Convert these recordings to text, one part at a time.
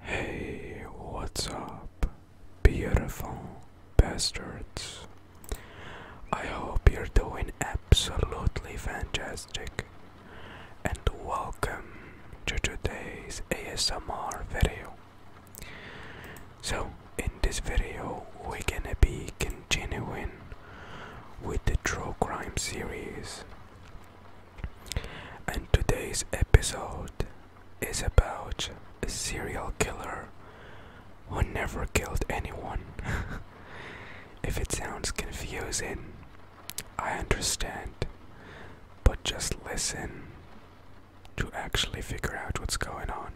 Hey, what's up, beautiful bastards? I hope you're doing absolutely fantastic, and welcome to today's ASMR video. So, in this video, we're gonna be continuing with the true crime series and today's episode is about a serial killer who never killed anyone. if it sounds confusing, I understand, but just listen to actually figure out what's going on.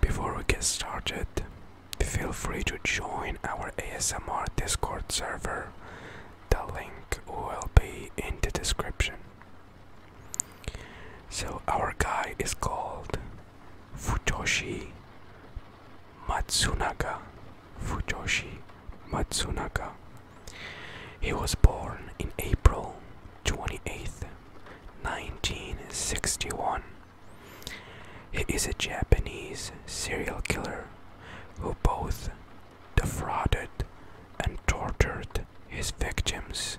Before we get started, feel free to join our ASMR Discord server the link will be in the description. So, our guy is called Futoshi Matsunaga. Futoshi Matsunaga. He was born in April 28th, 1961. He is a Japanese serial killer who both defrauded, and tortured his victims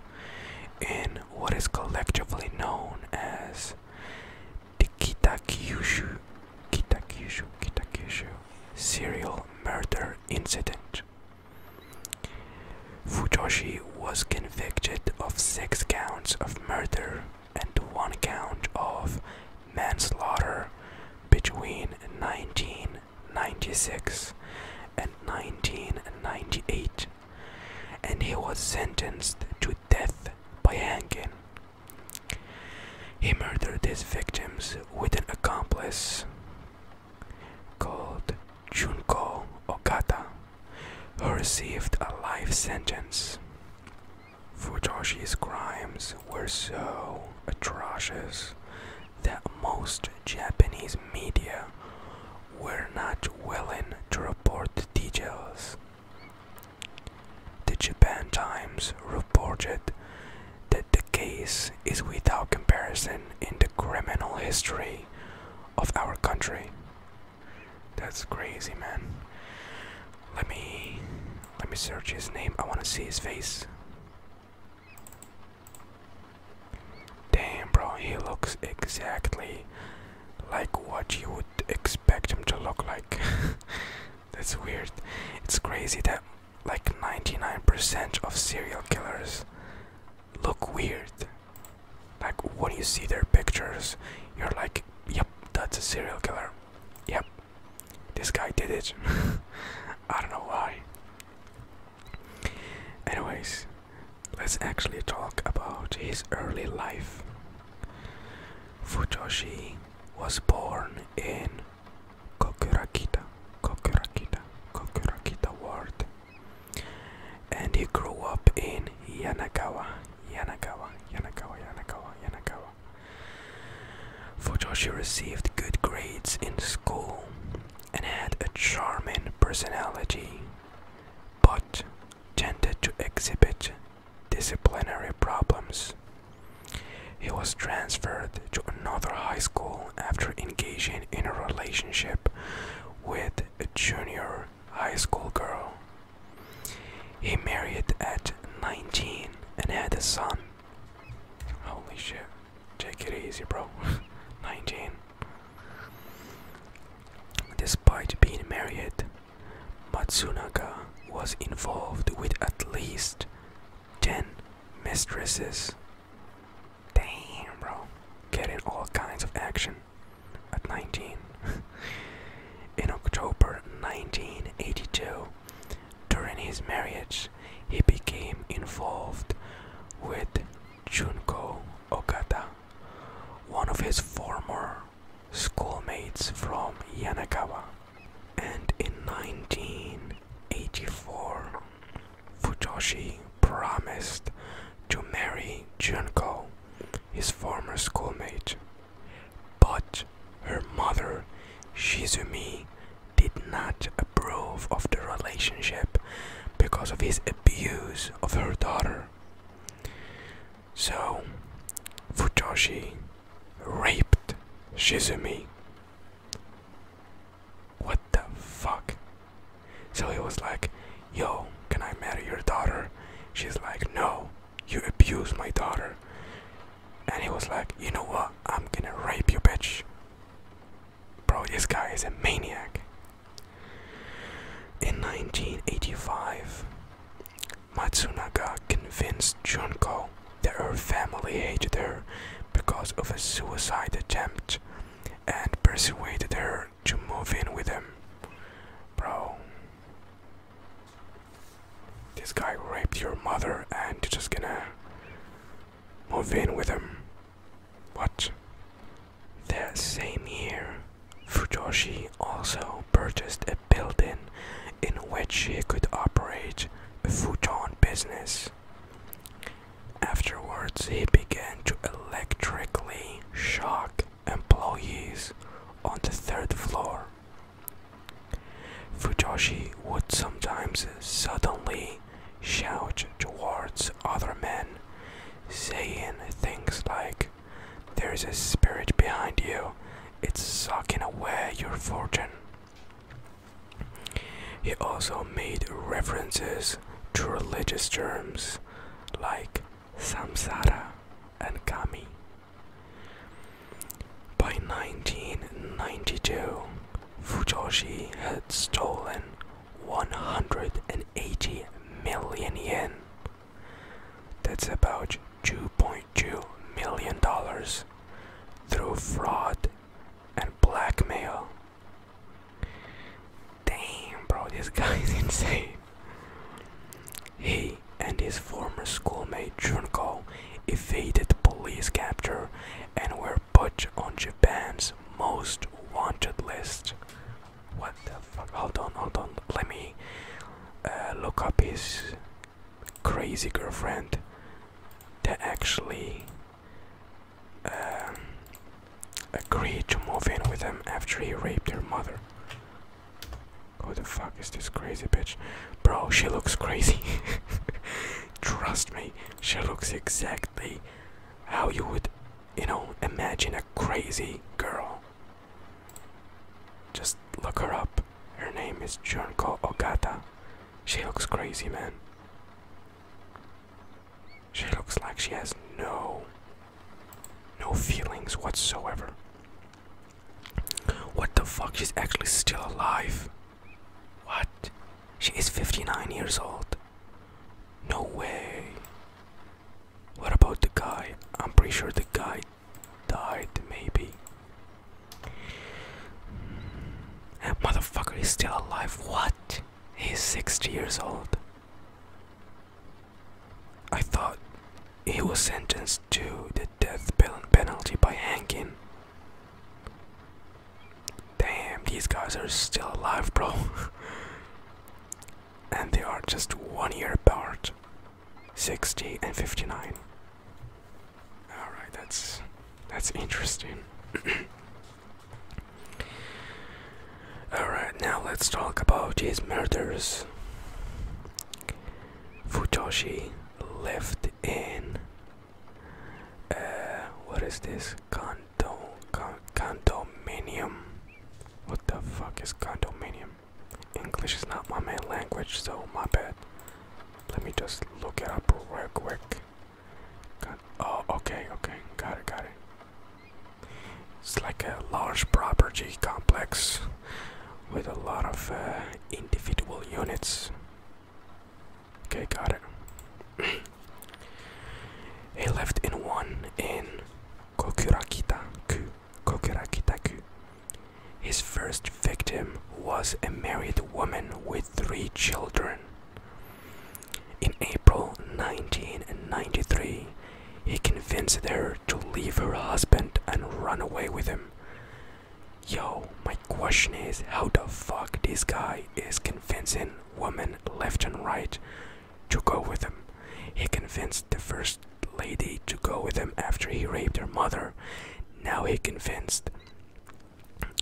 in what is collectively known as the Kitakyushu, Kitakyushu, Kitakyushu serial murder incident. Fujoshi was convicted of six counts of murder and one count of manslaughter between 19 Ninety six, and 1998, and he was sentenced to death by hanging. He murdered his victims with an accomplice called Junko Okata, who received a life sentence. for Joshi's crimes were so atrocious that most Japanese media were not willing to report the details. The Japan Times reported that the case is without comparison in the criminal history of our country. That's crazy, man. Let me let me search his name. I want to see his face. Damn, bro, he looks exactly like what you would expect him to look like. That's weird. It's crazy that like 99% of serial killers look weird. Like when you see their pictures, you're like, yep, that's a serial killer. Yep, this guy did it. I don't know why. Anyways, let's actually talk about his early life. Futoshi was born in Kokurakita, Kokurakita, Kokurakita Ward, and he grew up in Yanagawa, Yanagawa, Yanagawa, Yanagawa, Yanagawa, for Joshua received good grades in school and had a charming personality, but tended to exhibit disciplinary problems. He was transferred to another high school after engaging in a relationship with a junior high school girl. He married at 19 and had a son. Holy shit. Take it easy, bro. 19. Despite being married, Matsunaga was involved with at least 10 mistresses. Damn, bro. Getting all kinds of action at 19. In October 1982, during his marriage, he became involved with Junko Okada, one of his former schoolmates from Yanagawa. And in 1984, Futoshi promised to marry Junko, his former schoolmate. But her mother, Shizumi, did not approve of the relationship because of his abuse of her daughter. So, Futoshi raped Shizumi. What the fuck? So he was like, Yo, can I marry your daughter? She's like, No, you abuse my daughter. And he was like, You know what? I'm gonna rape you, bitch. Bro, this guy is a maniac. In 1985, Matsunaga convinced Junko that her family hated her because of a suicide attempt and persuaded her to move in with him. Bro, this guy raped your mother and just gonna move in with him. What? That same year, Fujoshi also purchased a building in which he could operate a futon business. Afterwards, he began to electrically shock employees on the third floor. Fujoshi would sometimes suddenly shout towards other men, saying things like, There's a spirit behind you, it's sucking away your fortune. He also made references to religious terms like samsara and kami. By 1992, Fujoshi had stolen 180 million yen. That's about $2.2 million through fraud and blackmail. Damn, bro, this guy's insane. He and his former schoolmate Junko evaded police capture and were put on Japan's most wanted list. What the fuck? Hold on, hold on. Let me uh, look up his crazy girlfriend that actually um, agreed to move in with him after he raped her mother. Who the fuck is this crazy bitch? Bro, she looks crazy. Trust me, she looks exactly how you would, you know, imagine a crazy girl. Just look her up. Her name is Junko Ogata. She looks crazy, man. She looks like she has no no feelings whatsoever. What the fuck? She's actually still alive. What? She is 59 years old. No way. What about the guy? I'm pretty sure the guy died, maybe. And motherfucker is still alive. What? He's 60 years old. I thought he was sentenced to the death penalty by hanging. Damn, these guys are still alive, bro. and they are just one year apart 60 and 59. Alright, that's that's interesting. Alright, now let's talk about his murders. Futoshi lived in uh, what is this? Condo, con, condominium. What the fuck is condominium? English is not my main language, so my bad. Let me just look it up real quick. oh, okay, okay, got it, got it. It's like a large property complex with a lot of uh, individual units. Okay, got it. He left in one in Kokurakita-ku. Kokurakita-ku. His first victim was a married woman with three children. In April 1993, he convinced her to leave her husband and run away with him. Yo, my question is how the fuck this guy is convincing women left and right to go with him. He convinced the first lady to go with him after he raped her mother. Now he convinced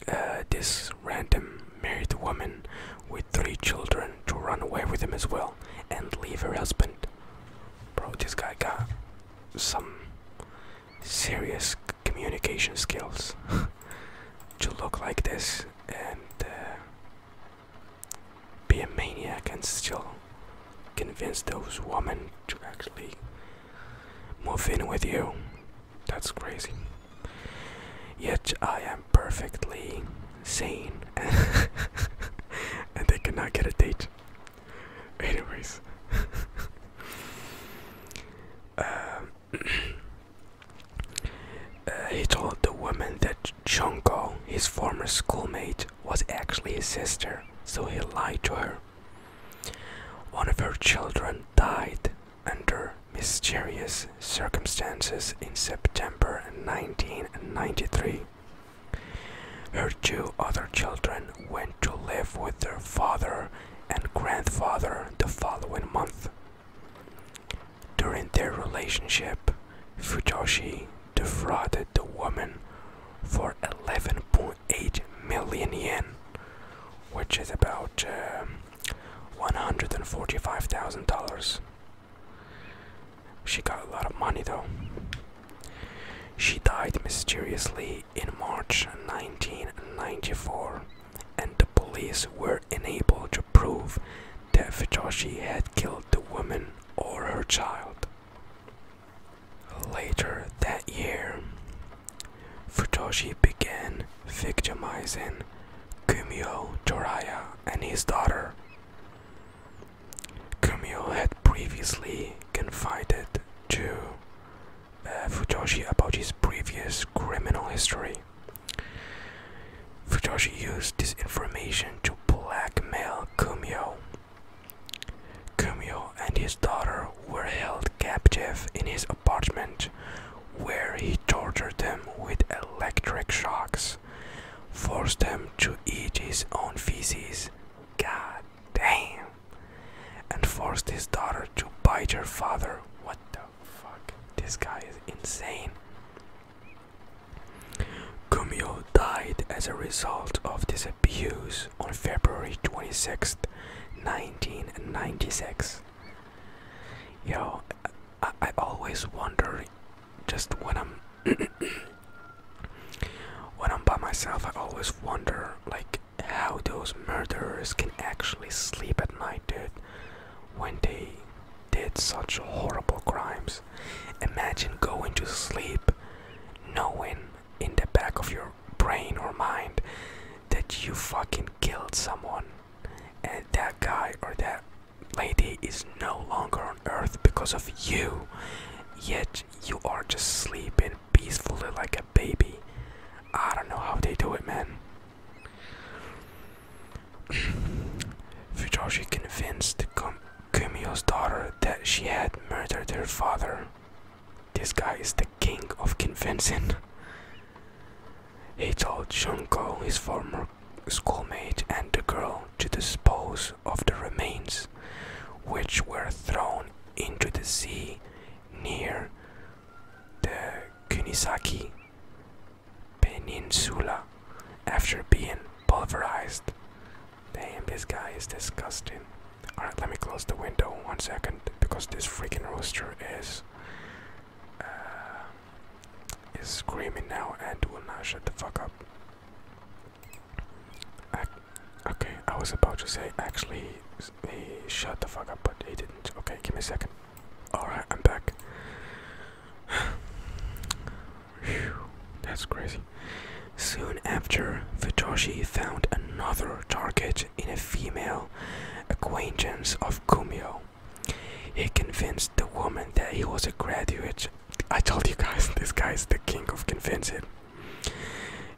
uh, this random married woman with three children to run away with him as well and leave her husband. Bro, this guy got some serious communication skills to look like this and uh, be a maniac and still convince those women to actually move in with you. That's crazy. Yet I am perfectly sane and they cannot get a date. Anyways. um, uh, he told the woman that Junko, his former schoolmate, was actually his sister, so he lied to her. One of her children died under mysterious circumstances in September 1993. Her two other children went to live with their father and grandfather the following month. During their relationship, Fujoshi defrauded the woman for 11.8 million yen, which is about uh, um, $145,000. She got a lot of money though. She died mysteriously in March 1994 and the police were unable to prove that Fujoshi had killed the woman or her child. Later that year, Fujoshi began victimizing Kumio Toraya and his daughter. Kumio had previously confided to uh, Fujoshi Futoshi about his previous criminal history. Fujoshi used this information to blackmail Kumio. Kumio and his daughter were held captive in his apartment, where he tortured them with electric shocks, forced them to eat his own feces. God damn! And forced his daughter to bite her father. What the fuck? This guy is insane. Gumio died as a result of this abuse on February 26th, 1996. Yo, I always wonder just when I'm when I'm by myself I always wonder like how those murderers can actually sleep at night, dude, when they did such horrible crimes. Imagine going to sleep knowing in the back of your brain or mind that you fucking killed someone and that guy or that lady is no longer on earth because of you yet you are just sleeping peacefully like a baby i don't know how they do it man Fujoshi convinced Kumio's daughter that she had murdered her father. This guy is the king of convincing. He told Shunko, his former schoolmate, and the girl to dispose of the remains, which were thrown into the sea near the Kunisaki Peninsula after being pulverized. Damn, this guy is disgusting. Alright, let me close the window one second because this freaking rooster is uh, is screaming now and will not shut the fuck up. okay, I was about to say actually he shut the fuck up, but he didn't. Okay, give me a second. Alright, I'm back. that's crazy. Soon after, Futoshi found another target in a female acquaintance of Kumio. He convinced the woman that he was a graduate. I told you guys, this guy is the king of convincing.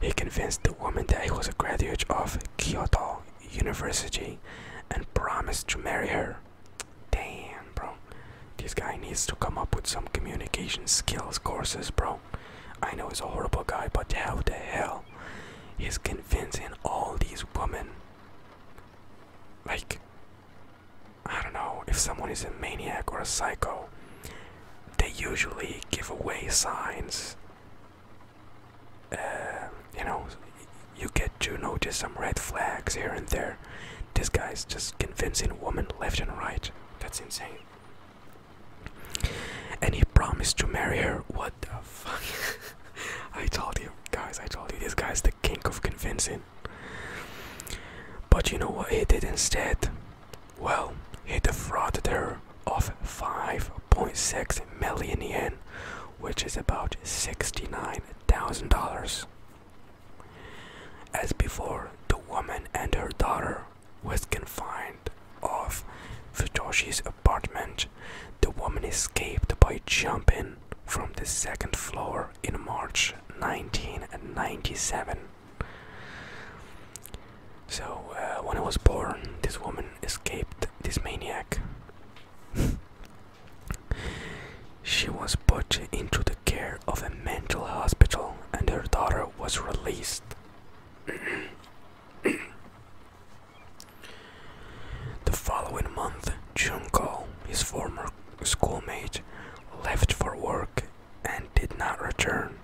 He convinced the woman that he was a graduate of Kyoto university and promised to marry her. Damn, bro. This guy needs to come up with some communication skills courses, bro. I know he's a horrible guy, but how the hell he's convincing all these women? Like, I don't know, if someone is a maniac or a psycho, they usually give away signs uh, you know, you get to notice some red flags here and there. This guy's just convincing women left and right. That's insane. And he promised to marry her. What the fuck? I told you, guys, I told you, this guy's the king of convincing. But you know what he did instead? Well, he defrauded her of 5.6 million yen, which is about $69,000. As before, the woman and her daughter was confined off Futoshi's apartment. The woman escaped by jumping from the second floor in March 1997. So, uh, when I was born, this woman escaped this maniac she was put into the care of a mental hospital and her daughter was released. the following month, Junko, his former schoolmate, left for work and did not return.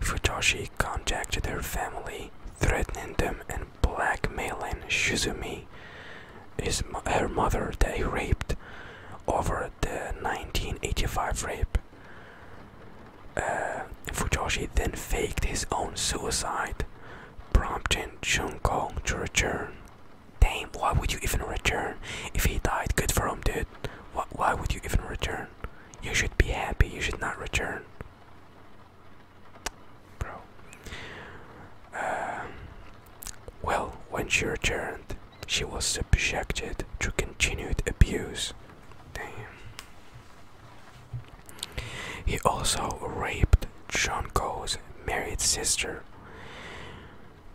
Futoshi contacted her family, threatening them and and blackmailing Shizumi, is her mother that he raped, over the 1985 rape. Uh, Fujoshi then faked his own suicide, prompting Junko to return. Damn, why would you even return? If he died, good for him, dude. why would you even return? You should be happy, you should not return bro. Um, well, when she returned, she was subjected to continued abuse. Damn. He also raped Chonko's married sister.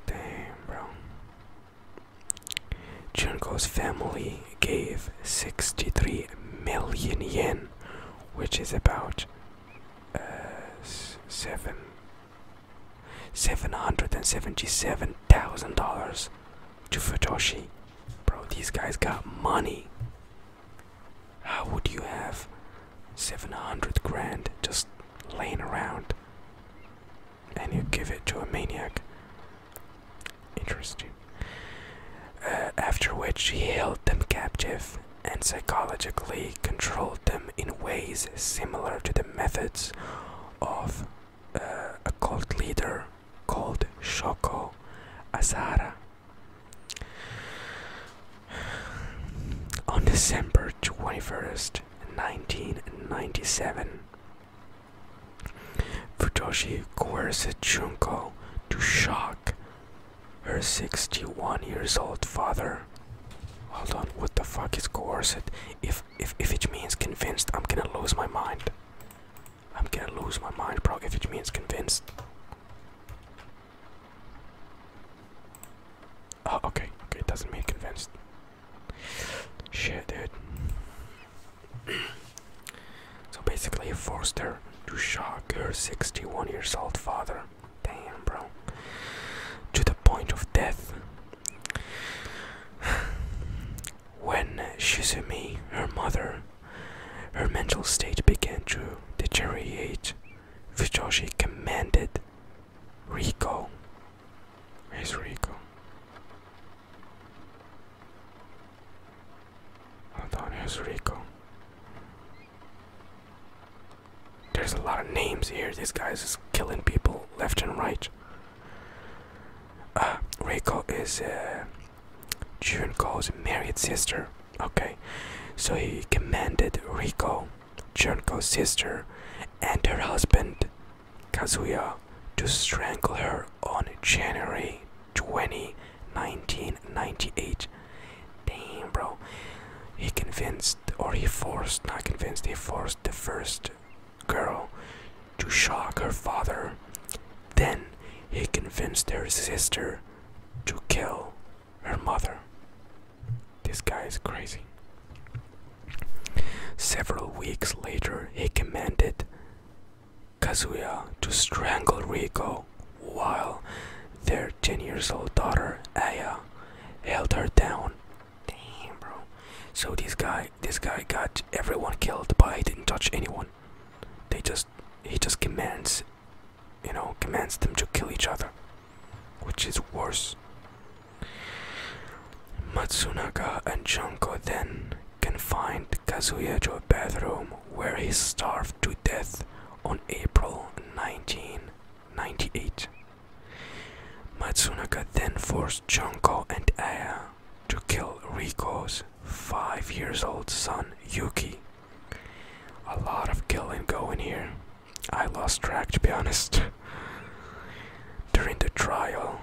Damn, bro. Chonko's family gave 63 million yen which is about uh, seven seven hundred and seventy-seven thousand dollars to Futoshi. Bro, these guys got money. How would you have seven hundred grand just laying around? And you give it to a maniac. Interesting. Uh, after which he held them captive and psychologically controlled them in ways similar to the methods of uh, a cult leader called Shoko Asara. On December 21st, 1997, Futoshi coerced Junko to shock her 61 years old father. Hold on, what the fuck is coerced? If if if it means convinced, I'm gonna lose my mind. I'm gonna lose my mind, bro, if it means convinced. Oh, okay, okay, it doesn't mean convinced. Shit, dude. So basically, it forced her to shock her 61 years old father. Damn, bro. To the point of death. when Shizumi, her mother, her mental state began to deteriorate, Fujoshi commanded Rico. Is Rico? Hold on, here's Rico. There's a lot of names here. This guy is killing people left and right. Uh, Rico is uh, Junko's married sister. Okay, so he commanded Rico, Junko's sister, and her husband, Kazuya, to strangle her on January 20, 1998. Damn, He convinced, or he forced, not convinced, he forced the first girl to shock her father. Then he convinced her sister to kill her mother. This guy is crazy. Several weeks later, he commanded Kazuya to strangle Riko while their 10 years old daughter Aya held her down. Damn, bro. So this guy, this guy got everyone killed, but he didn't touch anyone. They just, he just commands, you know, commands them to kill each other, which is worse. Matsunaga and Junko then confined Kazuya to a bathroom where he starved to death on April 1998. Matsunaga then forced Junko and Aya to kill Riko's five years old son Yuki. A lot of killing going here. I lost track to be honest. During the trial,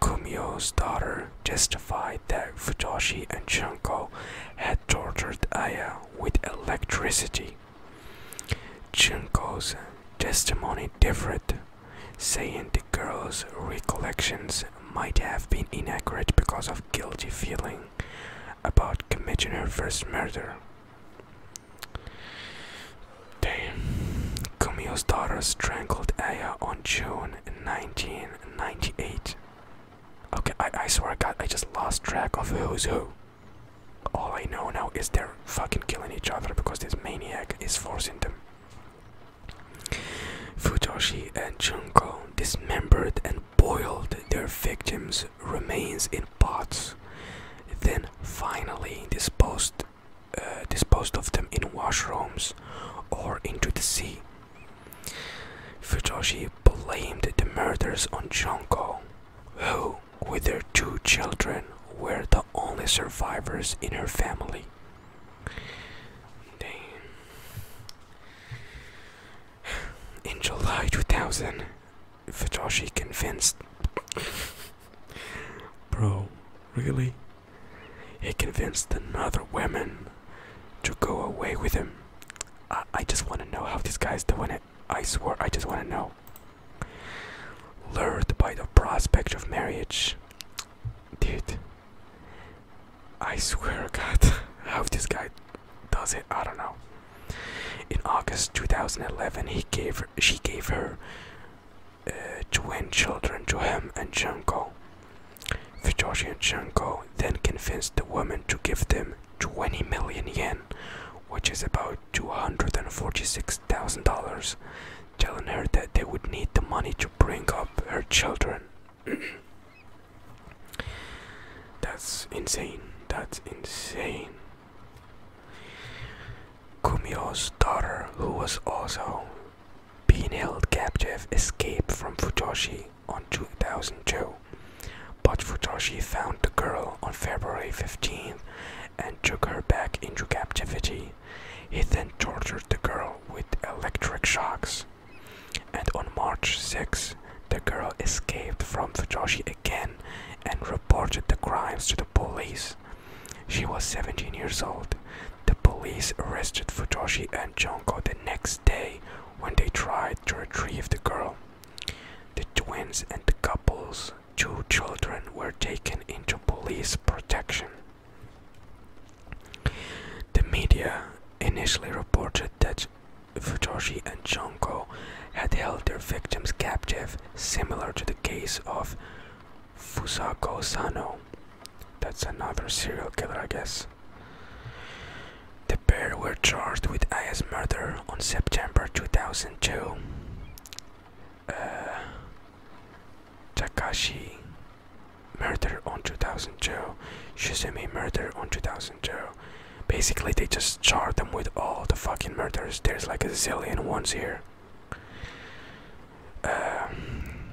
Kumio's daughter testified that Futoshi and Junko had tortured Aya with electricity. Junko's testimony differed, saying the girl's recollections might have been inaccurate because of guilty feeling about committing her first murder. Damn. Kumio's daughter strangled Aya on June 1998. Okay, I, I swear God, I just lost track of who's who. All I know now is they're fucking killing each other because this maniac is forcing them. Futoshi and Junko dismembered and boiled their victims' remains in pots, then finally disposed, uh, disposed of them in washrooms or into the sea. Futoshi blamed the murders on Junko, who, with her two children, were the only survivors in her family. In July 2000, Futoshi convinced. Bro, really? He convinced another woman to go away with him. I, just want to know how this guy's doing it. I swear, I just want to know. Lured by the prospect of marriage. Dude, I swear, God, how this guy does it, I don't know. In August 2011, he gave her, she gave her uh, twin children to him and Junko and Fyodorshenko then convinced the woman to give them 20 million yen, which is about $246,000, telling her that they would need the money to bring up her children. That's insane. That's insane. Kumio's daughter, who was also being held captive, escaped from Fujoshi on 2002, but Futoshi found the girl on February 15 and took her back into captivity. He then tortured the girl with electric shocks. And on March 6, the girl escaped from Futoshi again and reported the crimes to the police. She was 17 years old. The police arrested Futoshi and Junko the next day when they tried to retrieve the girl. The twins and the couple's two children were taken into police protection. The media initially reported that Futoshi and Chonko had held their victims captive, similar to the case of Fusako Sano. That's another serial killer, I guess. The pair were charged with Aya's murder on September 2002. Uh, Takashi murder on 2002. Shizumi murder on 2002. Basically, they just charge them with all the fucking murders. There's like a zillion ones here. Um,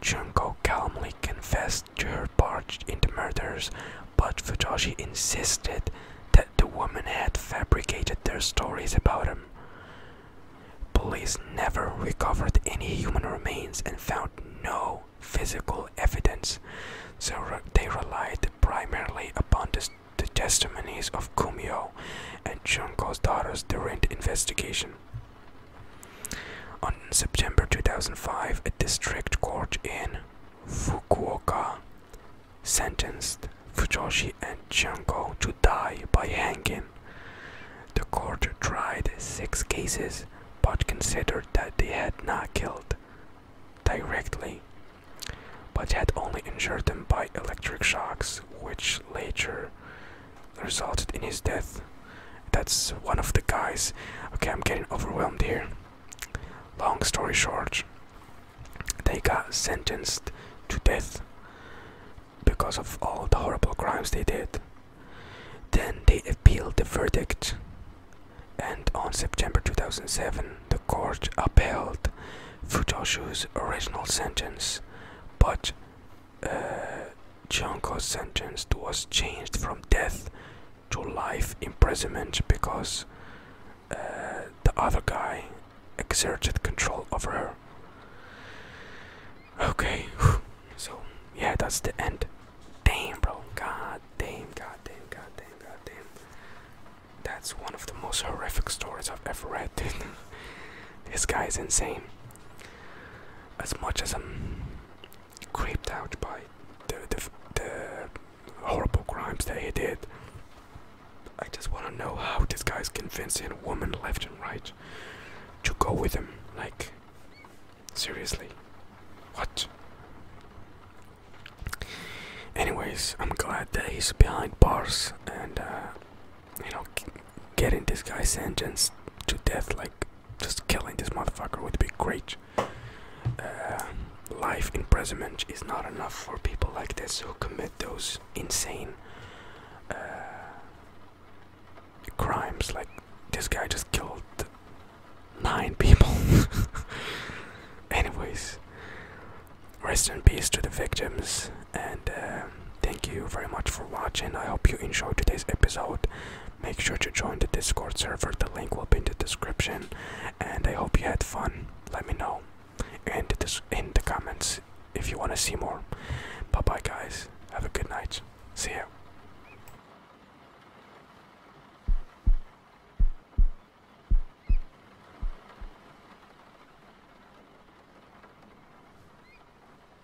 Junko calmly confessed to her part in the murders, but Fujoshi insisted that the woman had fabricated their stories about him. Police never recovered any human remains and found no physical evidence, so they relied primarily upon the, testimonies of Kumio and Junko's daughters during investigation. On September 2005, a district court in Fukuoka sentenced Fujoshi and Chanko to die by hanging. The court tried six cases but considered that they had not killed directly but had only injured them by electric shocks, which later resulted in his death. That's one of the guys. Okay, I'm getting overwhelmed here. Long story short, they got sentenced to death because of all the horrible crimes they did. Then they appealed the verdict, and on September 2007, the court upheld Futoshu's original sentence but uh, Junko's sentence was changed from death to life imprisonment because uh, the other guy exerted control over her. Okay, so yeah, that's the end. Damn, bro. God damn, god damn, god damn, god damn. That's one of the most horrific stories I've ever read. this guy is insane. As much as I'm creeped out by the, the, the horrible crimes that he did. I just want to know how this guy's convincing women left and right to go with him. Like, seriously, what? Anyways, I'm glad that he's behind bars and, uh, you know, getting this guy sentenced to death like just killing this motherfucker would be great. life imprisonment is not enough for people like this who commit those insane uh, crimes. Like this guy just killed nine people. Anyways, rest in peace to the victims and. Uh, thank you very much for watching. I hope you enjoyed today's episode. Make sure to join the Discord server, the link will be in the description. And I hope you had fun. Let me know in the, in the comments if you want to see more. Bye bye, guys. Have a good night. See you.